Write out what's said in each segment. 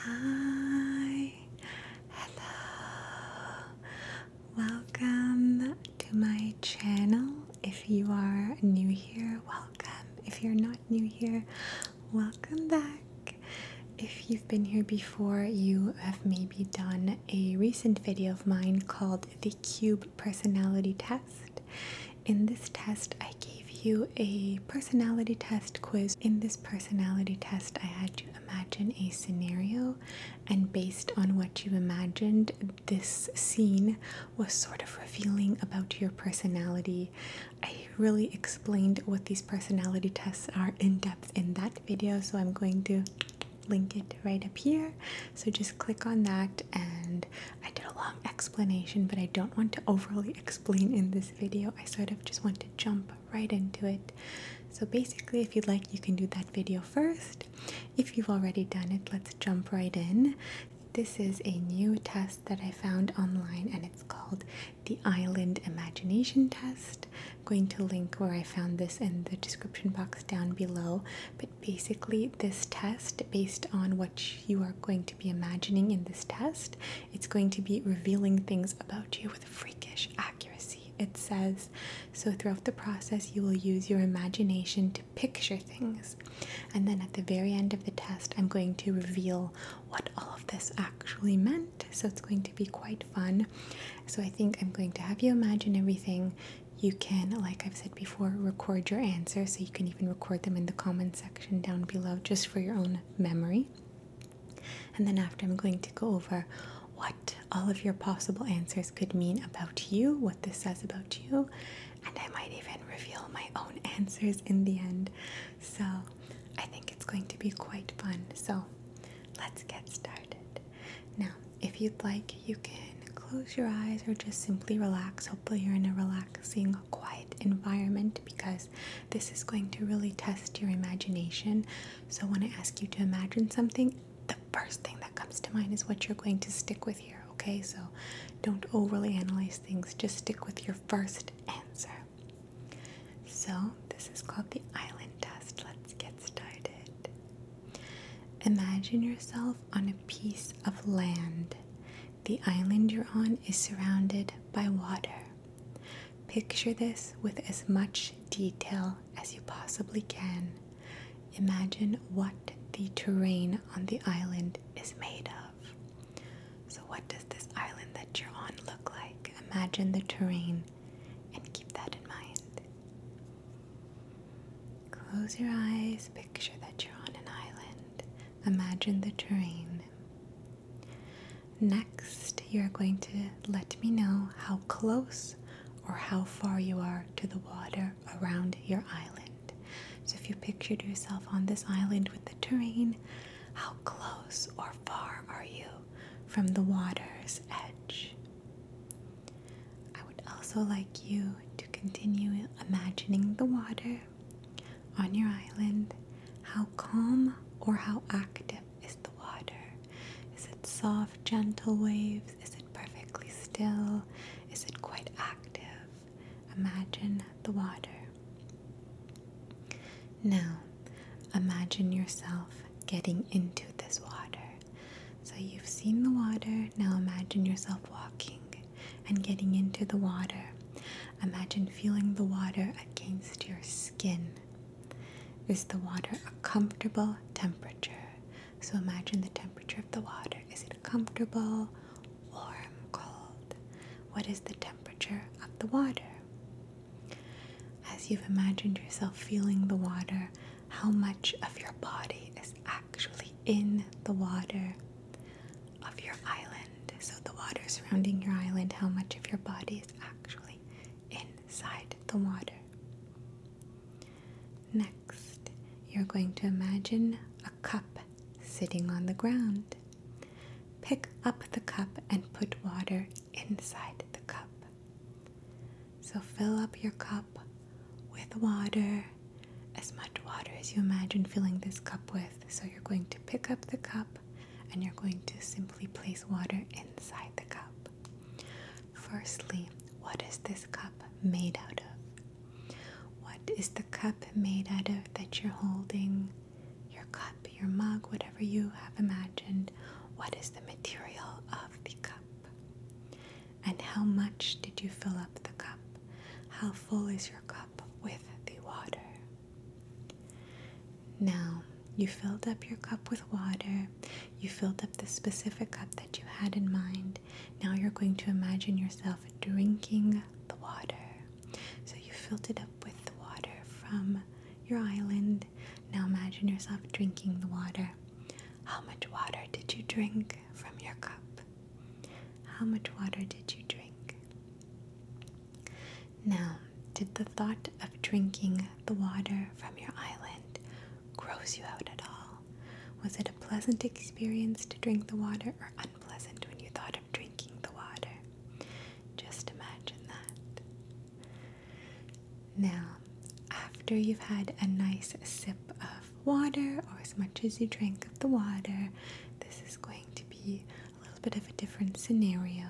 Hi, hello, welcome to my channel. If you are new here, welcome. If you're not new here, welcome back. If you've been here before, you have maybe done a recent video of mine called the Cube Personality Test. In this test, I you a personality test quiz. In this personality test, I had you imagine a scenario, and based on what you imagined, this scene was sort of revealing about your personality. I really explained what these personality tests are in depth in that video, so I'm going to link it right up here. So just click on that, and I did a lot explanation, but I don't want to overly explain in this video. I sort of just want to jump right into it. So basically, if you'd like, you can do that video first. If you've already done it, let's jump right in. This is a new test that I found online and it's called the Island Imagination Test. I'm going to link where I found this in the description box down below. But basically, this test, based on what you are going to be imagining in this test, it's going to be revealing things about you with freakish accuracy, it says. So, throughout the process, you will use your imagination to picture things. And then at the very end of the test, I'm going to reveal what all of this actually meant. So, it's going to be quite fun. So, I think I'm going to have you imagine everything. You can, like I've said before, record your answers. So, you can even record them in the comment section down below just for your own memory. And then after, I'm going to go over what all of your possible answers could mean about you, what this says about you, and I might even reveal my own answers in the end. So I think it's going to be quite fun. So let's get started. Now, if you'd like, you can close your eyes or just simply relax. Hopefully, you're in a relaxing, quiet environment because this is going to really test your imagination. So, when I ask you to imagine something, the first thing that comes to mind is what you're going to stick with here, okay? So, don't overly analyze things, just stick with your first answer. So, this is called the island test. Let's get started. Imagine yourself on a piece of land. The island you're on is surrounded by water. Picture this with as much detail as you possibly can. Imagine what the terrain on the island is made of. So, what does this island that you're on look like? Imagine the terrain and keep that in mind. Close your eyes, picture that you're on an island. Imagine the terrain. Next, you're going to let me know how close or how far you are to the water around your island. So, if you pictured yourself on this island with the terrain, how close or far are you from the water's edge? I would also like you to continue imagining the water on your island? How calm or how active is the water? Is it soft, gentle waves? Is it perfectly still? Is it quite active? Imagine the water. Now, imagine yourself getting into this water. So, you've seen the water, now imagine yourself walking and getting into the water. Imagine feeling the water against your skin. Is the water a comfortable temperature? So imagine the temperature of the water. Is it comfortable, warm, cold? What is the temperature of the water? As you've imagined yourself feeling the water, how much of your body is actually in the water? of your island, so the water surrounding your island, how much of your body is actually inside the water. Next, you're going to imagine a cup sitting on the ground. Pick up the cup and put water inside the cup. So fill up your cup with water as much water as you imagine filling this cup with. So you're going to pick up the cup and you're going to simply place water inside the cup. Firstly, what is this cup made out of? What is the cup made out of that you're holding? Your cup, your mug, whatever you have imagined. What is the material of the cup? And how much did you fill up the cup? How full is your cup with the water? Now, you filled up your cup with water, you filled up the specific cup that you had in mind. Now you're going to imagine yourself drinking the water. So you filled it up with the water from your island. Now imagine yourself drinking the water. How much water did you drink from your cup? How much water did you drink? Now, did the thought of drinking the water from your island gross you out at all? Was it a pleasant experience to drink the water or unpleasant when you thought of drinking the water? Just imagine that. Now, after you've had a nice sip of water or as much as you drank of the water, this is going to be a little bit of a different scenario.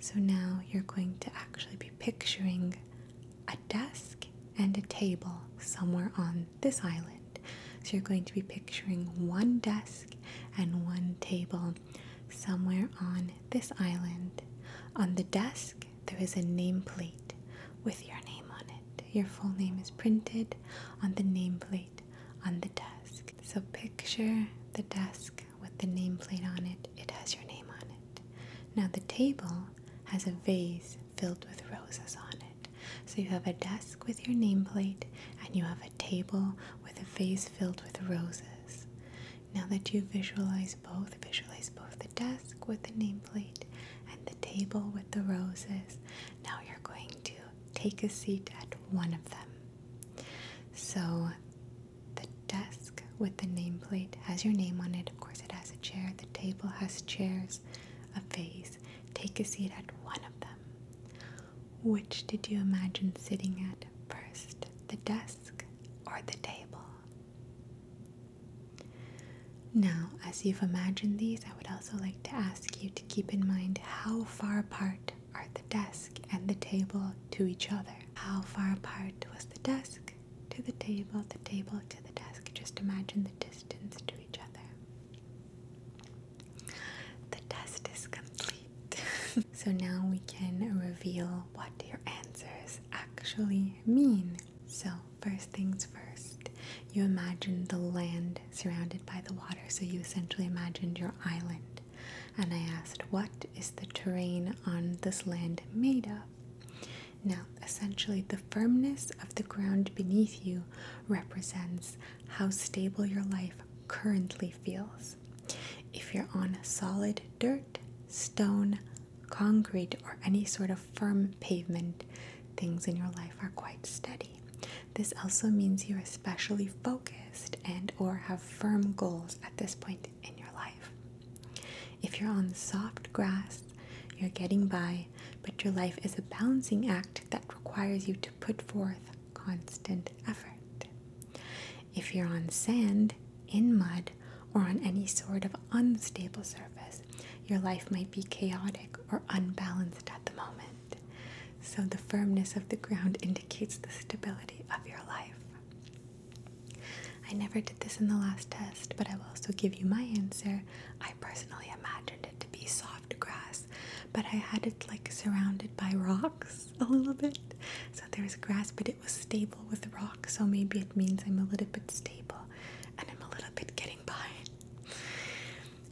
So now you're going to actually be picturing a desk and a table somewhere on this island. So you're going to be picturing one desk and one table somewhere on this island. On the desk, there is a nameplate with your name on it. Your full name is printed on the nameplate on the desk. So picture the desk with the nameplate on it. It has your name on it. Now the table has a vase filled with roses on it. So you have a desk with your nameplate and you have a table with a vase filled with roses. Now that you visualize both, visualize both the desk with the nameplate and the table with the roses. Now you're going to take a seat at one of them. So the desk with the nameplate has your name on it. Of course, it has a chair. The table has chairs, a vase. Take a seat at one of them. Which did you imagine sitting at first, the desk or the table? Now, as you've imagined these, I would also like to ask you to keep in mind how far apart are the desk and the table to each other. How far apart was the desk to the table, the table to the desk? Just imagine the distance to each other. The test is complete. so now we can reveal what your answers actually mean. So, first things first, you imagined the land surrounded by the water, so you essentially imagined your island. And I asked, What is the terrain on this land made of? Now, essentially, the firmness of the ground beneath you represents how stable your life currently feels. If you're on solid dirt, stone, concrete, or any sort of firm pavement, things in your life are quite steady. This also means you're especially focused and or have firm goals at this point in your life. If you're on soft grass, you're getting by, but your life is a balancing act that requires you to put forth constant effort. If you're on sand, in mud, or on any sort of unstable surface, your life might be chaotic or unbalanced at the moment. So the firmness of the ground indicates the stability of your life. I never did this in the last test, but I will also give you my answer. I personally imagined it to be soft grass, but I had it like surrounded by rocks a little bit. So there was grass, but it was stable with rocks, so maybe it means I'm a little bit stable and I'm a little bit getting by.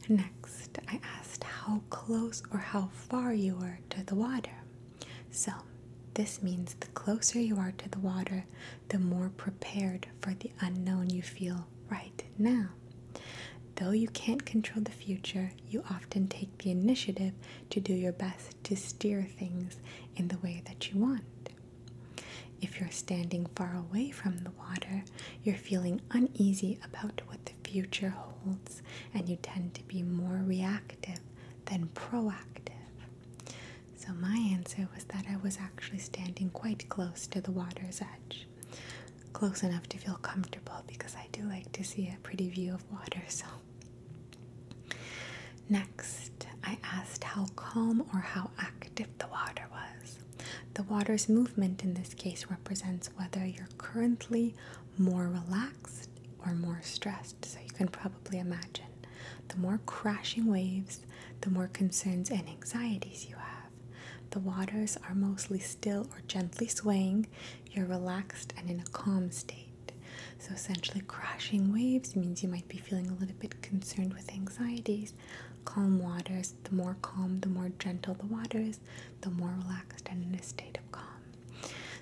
Next, I asked how close or how far you are to the water. So, this means the closer you are to the water, the more prepared for the unknown you feel right now. Though you can't control the future, you often take the initiative to do your best to steer things in the way that you want. If you're standing far away from the water, you're feeling uneasy about what the future holds, and you tend to be more reactive than proactive. So, my answer was that I was actually standing quite close to the water's edge. Close enough to feel comfortable because I do like to see a pretty view of water, so. Next, I asked how calm or how active the water was. The water's movement in this case represents whether you're currently more relaxed or more stressed. So you can probably imagine the more crashing waves, the more concerns and anxieties you have. The waters are mostly still or gently swaying, you're relaxed and in a calm state. So, essentially, crashing waves means you might be feeling a little bit concerned with anxieties calm waters. The more calm, the more gentle the water is, the more relaxed and in a state of calm.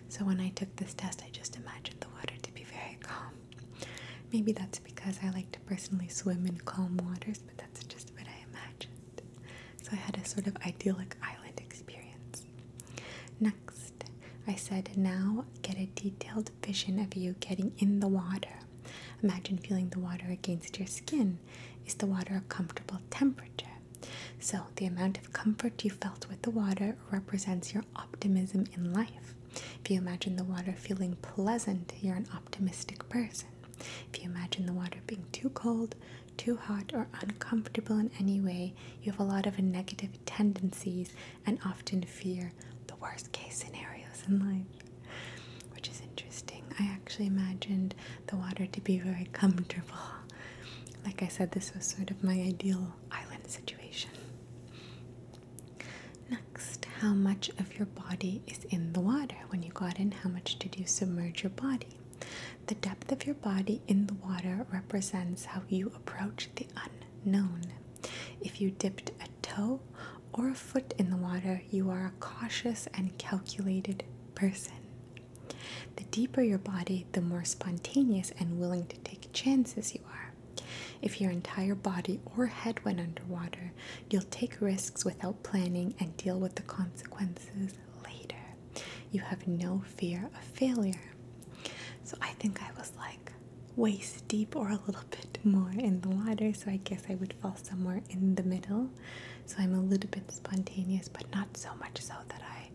So when I took this test, I just imagined the water to be very calm. Maybe that's because I like to personally swim in calm waters, but that's just what I imagined. So I had a sort of idyllic island experience. Next, I said, now get a detailed vision of you getting in the water. Imagine feeling the water against your skin. Is the water a comfortable temperature? So, the amount of comfort you felt with the water represents your optimism in life. If you imagine the water feeling pleasant, you're an optimistic person. If you imagine the water being too cold, too hot, or uncomfortable in any way, you have a lot of negative tendencies and often fear the worst case scenarios in life which is interesting. I actually imagined the water to be very comfortable. Like I said, this was sort of my ideal island situation. Next, how much of your body is in the water? When you got in, how much did you submerge your body? The depth of your body in the water represents how you approach the unknown. If you dipped a toe or a foot in the water, you are a cautious and calculated person. The deeper your body, the more spontaneous and willing to take chances you are. If your entire body or head went underwater, you'll take risks without planning and deal with the consequences later. You have no fear of failure. So I think I was like waist deep or a little bit more in the water, so I guess I would fall somewhere in the middle. So I'm a little bit spontaneous, but not so much so that I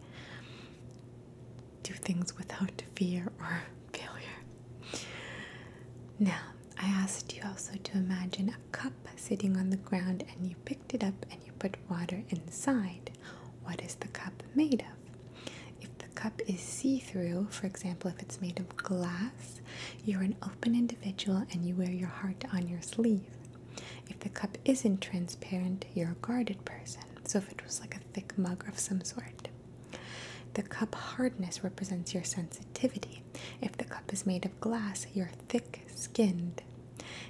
do things without fear or failure. Now, I asked you also to imagine a cup sitting on the ground and you picked it up and you put water inside. What is the cup made of? If the cup is see through, for example, if it's made of glass, you're an open individual and you wear your heart on your sleeve. If the cup isn't transparent, you're a guarded person. So if it was like a thick mug of some sort. The cup hardness represents your sensitivity. If the cup is made of glass, you're thick skinned.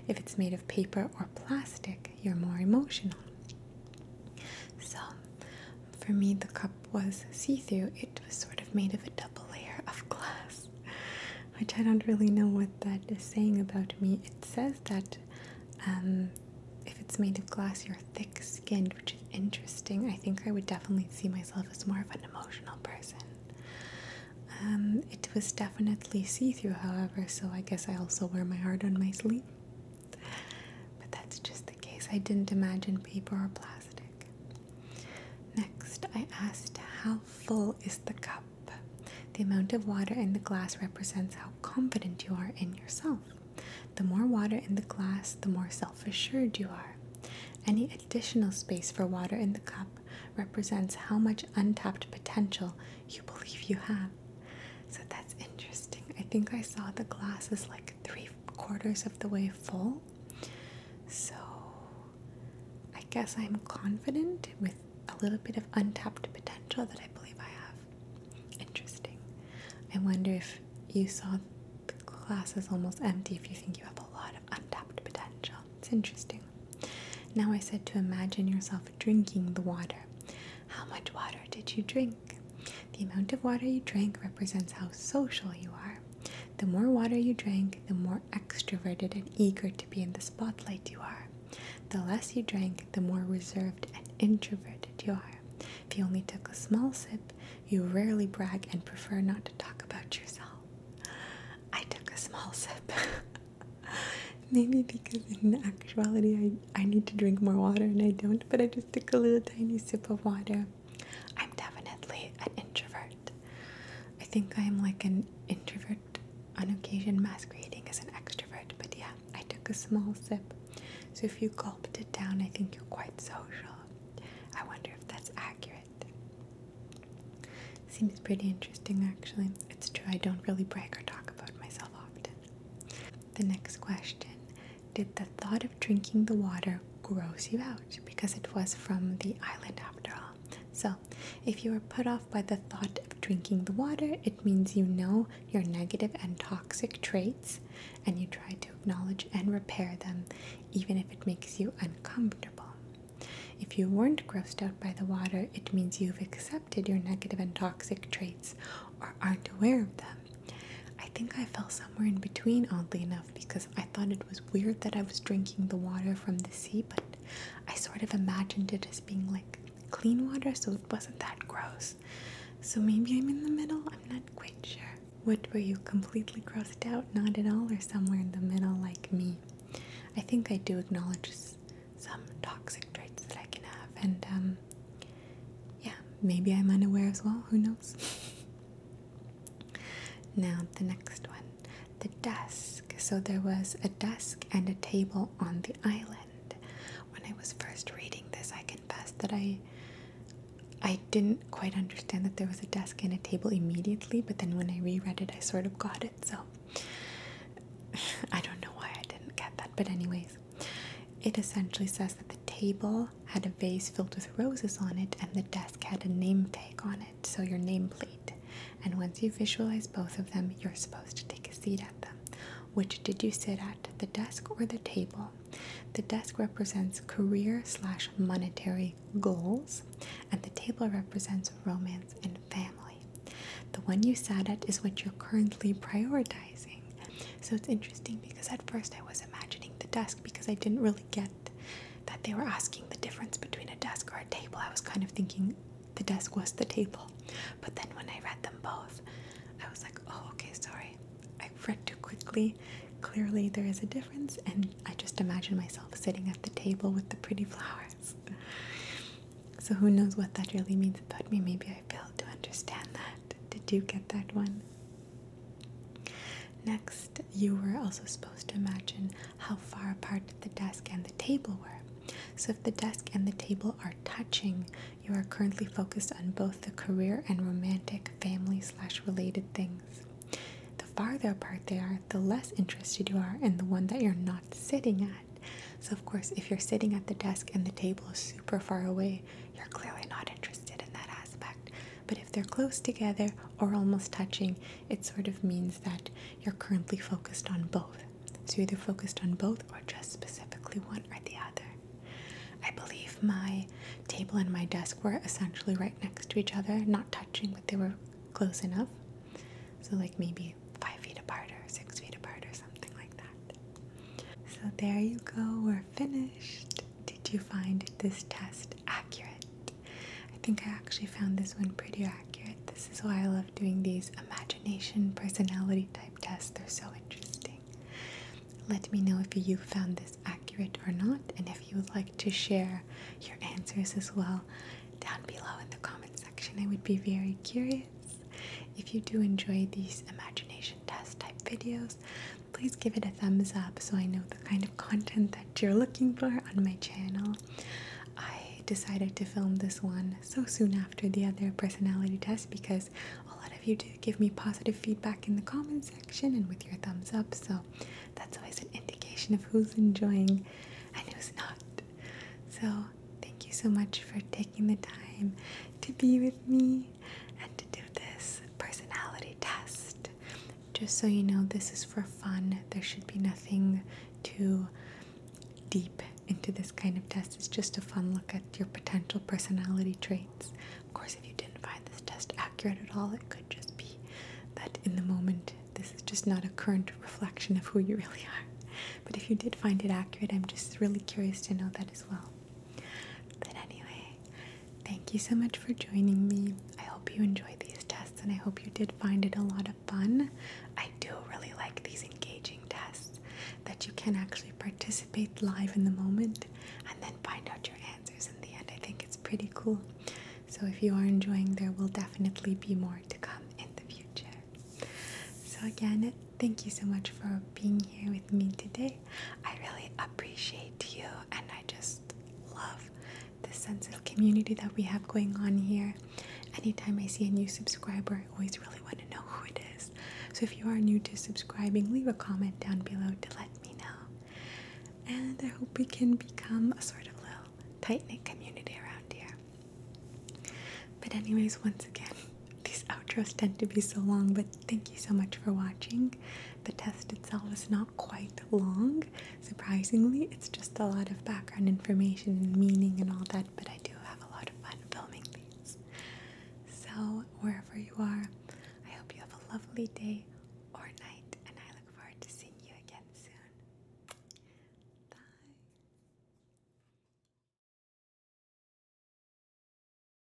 If it's made of paper or plastic, you're more emotional. So, for me, the cup was see through, it was sort of made of a double layer of glass, which I don't really know what that is saying about me. It says that um, if it's made of glass, you're thick skinned, which is interesting. I think I would definitely see myself as more of an emotional person. Um, it was definitely see through, however, so I guess I also wear my heart on my sleeve. But that's just case, I didn't imagine paper or plastic. Next, I asked how full is the cup? The amount of water in the glass represents how confident you are in yourself. The more water in the glass, the more self assured you are. Any additional space for water in the cup represents how much untapped potential you believe you have. So that's interesting. I think I saw the glass as like three quarters of the way full. So I guess I'm confident with a little bit of untapped potential that I believe I have. Interesting. I wonder if you saw the glass is almost empty if you think you have a lot of untapped potential. It's interesting. Now I said to imagine yourself drinking the water. How much water did you drink? The amount of water you drank represents how social you are. The more water you drank, the more extroverted and eager to be in the spotlight you are. The less you drank, the more reserved and introverted you are. If you only took a small sip, you rarely brag and prefer not to talk about yourself. I took a small sip. Maybe because in actuality I, I need to drink more water and I don't, but I just took a little tiny sip of water. I'm definitely an introvert. I think I'm like an introvert on occasion masquerading as an extrovert, but yeah, I took a small sip. So if you gulped it down, I think you're quite social. I wonder if that's accurate. Seems pretty interesting actually. It's true, I don't really brag or talk about myself often. The next question did the thought of drinking the water gross you out because it was from the island after all. So, if you are put off by the thought of drinking the water, it means you know your negative and toxic traits and you try to acknowledge and repair them, even if it makes you uncomfortable. If you weren't grossed out by the water, it means you've accepted your negative and toxic traits or aren't aware of them I think I fell somewhere in between, oddly enough, because I thought it was weird that I was drinking the water from the sea, but I sort of imagined it as being like clean water, so it wasn't that gross. So maybe I'm in the middle, I'm not quite sure. What were you, completely grossed out? Not at all, or somewhere in the middle, like me? I think I do acknowledge some toxic traits that I can have, and um, yeah, maybe I'm unaware as well, who knows? Now, the next one the desk. So, there was a desk and a table on the island. When I was first reading this, I confess that I. I didn't quite understand that there was a desk and a table immediately, but then when I reread it, I sort of got it. So I don't know why I didn't get that. But, anyways, it essentially says that the table had a vase filled with roses on it, and the desk had a name tag on it, so your nameplate. And once you visualize both of them, you're supposed to take a seat at them. Which did you sit at, the desk or the table? The desk represents career slash monetary goals, and the table represents romance and family. The one you sat at is what you're currently prioritizing. So it's interesting because at first I was imagining the desk because I didn't really get that they were asking the difference between a desk or a table. I was kind of thinking the desk was the table. But then when I read them both, I was like, oh, okay, sorry. I read too quickly. Clearly, there is a difference, and I just imagine myself sitting at the table with the pretty flowers. So, who knows what that really means about me? Maybe I failed to understand that. Did you get that one? Next, you were also supposed to imagine how far apart the desk and the table were. So, if the desk and the table are touching, you are currently focused on both the career and romantic family slash related things. The farther apart they are, the less interested you are in the one that you're not sitting at. So, of course, if you're sitting at the desk and the table is super far away, you're clearly not interested in that aspect. But if they're close together or almost touching, it sort of means that you're currently focused on both. So you're either focused on both or just specifically one or the other. I believe my table and my desk were essentially right next to each other, not touching, but they were close enough. So, like maybe five feet apart or six feet apart or something like that. So, there you go, we're finished. Did you find this test accurate? I think I actually found this one pretty accurate. This is why I love doing these imagination personality type tests, they're so interesting. Let me know if you found this accurate or not, and if you would like to share your answers as well down below in the comment section. I would be very curious. If you do enjoy these imagination test type videos, please give it a thumbs up so I know the kind of content that you're looking for on my channel. I decided to film this one so soon after the other personality test because a lot of you do give me positive feedback in the comment section and with your thumbs up, so that's always an indication of who's enjoying and who's not. So, thank you so much for taking the time to be with me and to do this personality test. Just so you know, this is for fun. There should be nothing too deep into this kind of test. It's just a fun look at your potential personality traits. Of course, if you didn't find this test accurate at all, it could just be that in the moment, this is just not a current reflection of who you really are. But if you did find it accurate, I'm just really curious to know that as well. But anyway, thank you so much for joining me. I hope you enjoyed these tests and I hope you did find it a lot of fun. I do really like these engaging tests that you can actually participate live in the moment and then find out your answers in the end. I think it's pretty cool. So if you are enjoying, there will definitely be more to come in the future. So again, thank you so much for being here with me today. I really appreciate you, and I just love the sense of community that we have going on here. Anytime I see a new subscriber, I always really want to know who it is. So if you are new to subscribing, leave a comment down below to let me know. And I hope we can become a sort of little tight knit community around here. But, anyways, once again, these outros tend to be so long, but thank you so much for watching. The test itself is not quite long, surprisingly. It's just a lot of background information and meaning and all that, but I do have a lot of fun filming these. So, wherever you are, I hope you have a lovely day or night, and I look forward to seeing you again soon. Bye.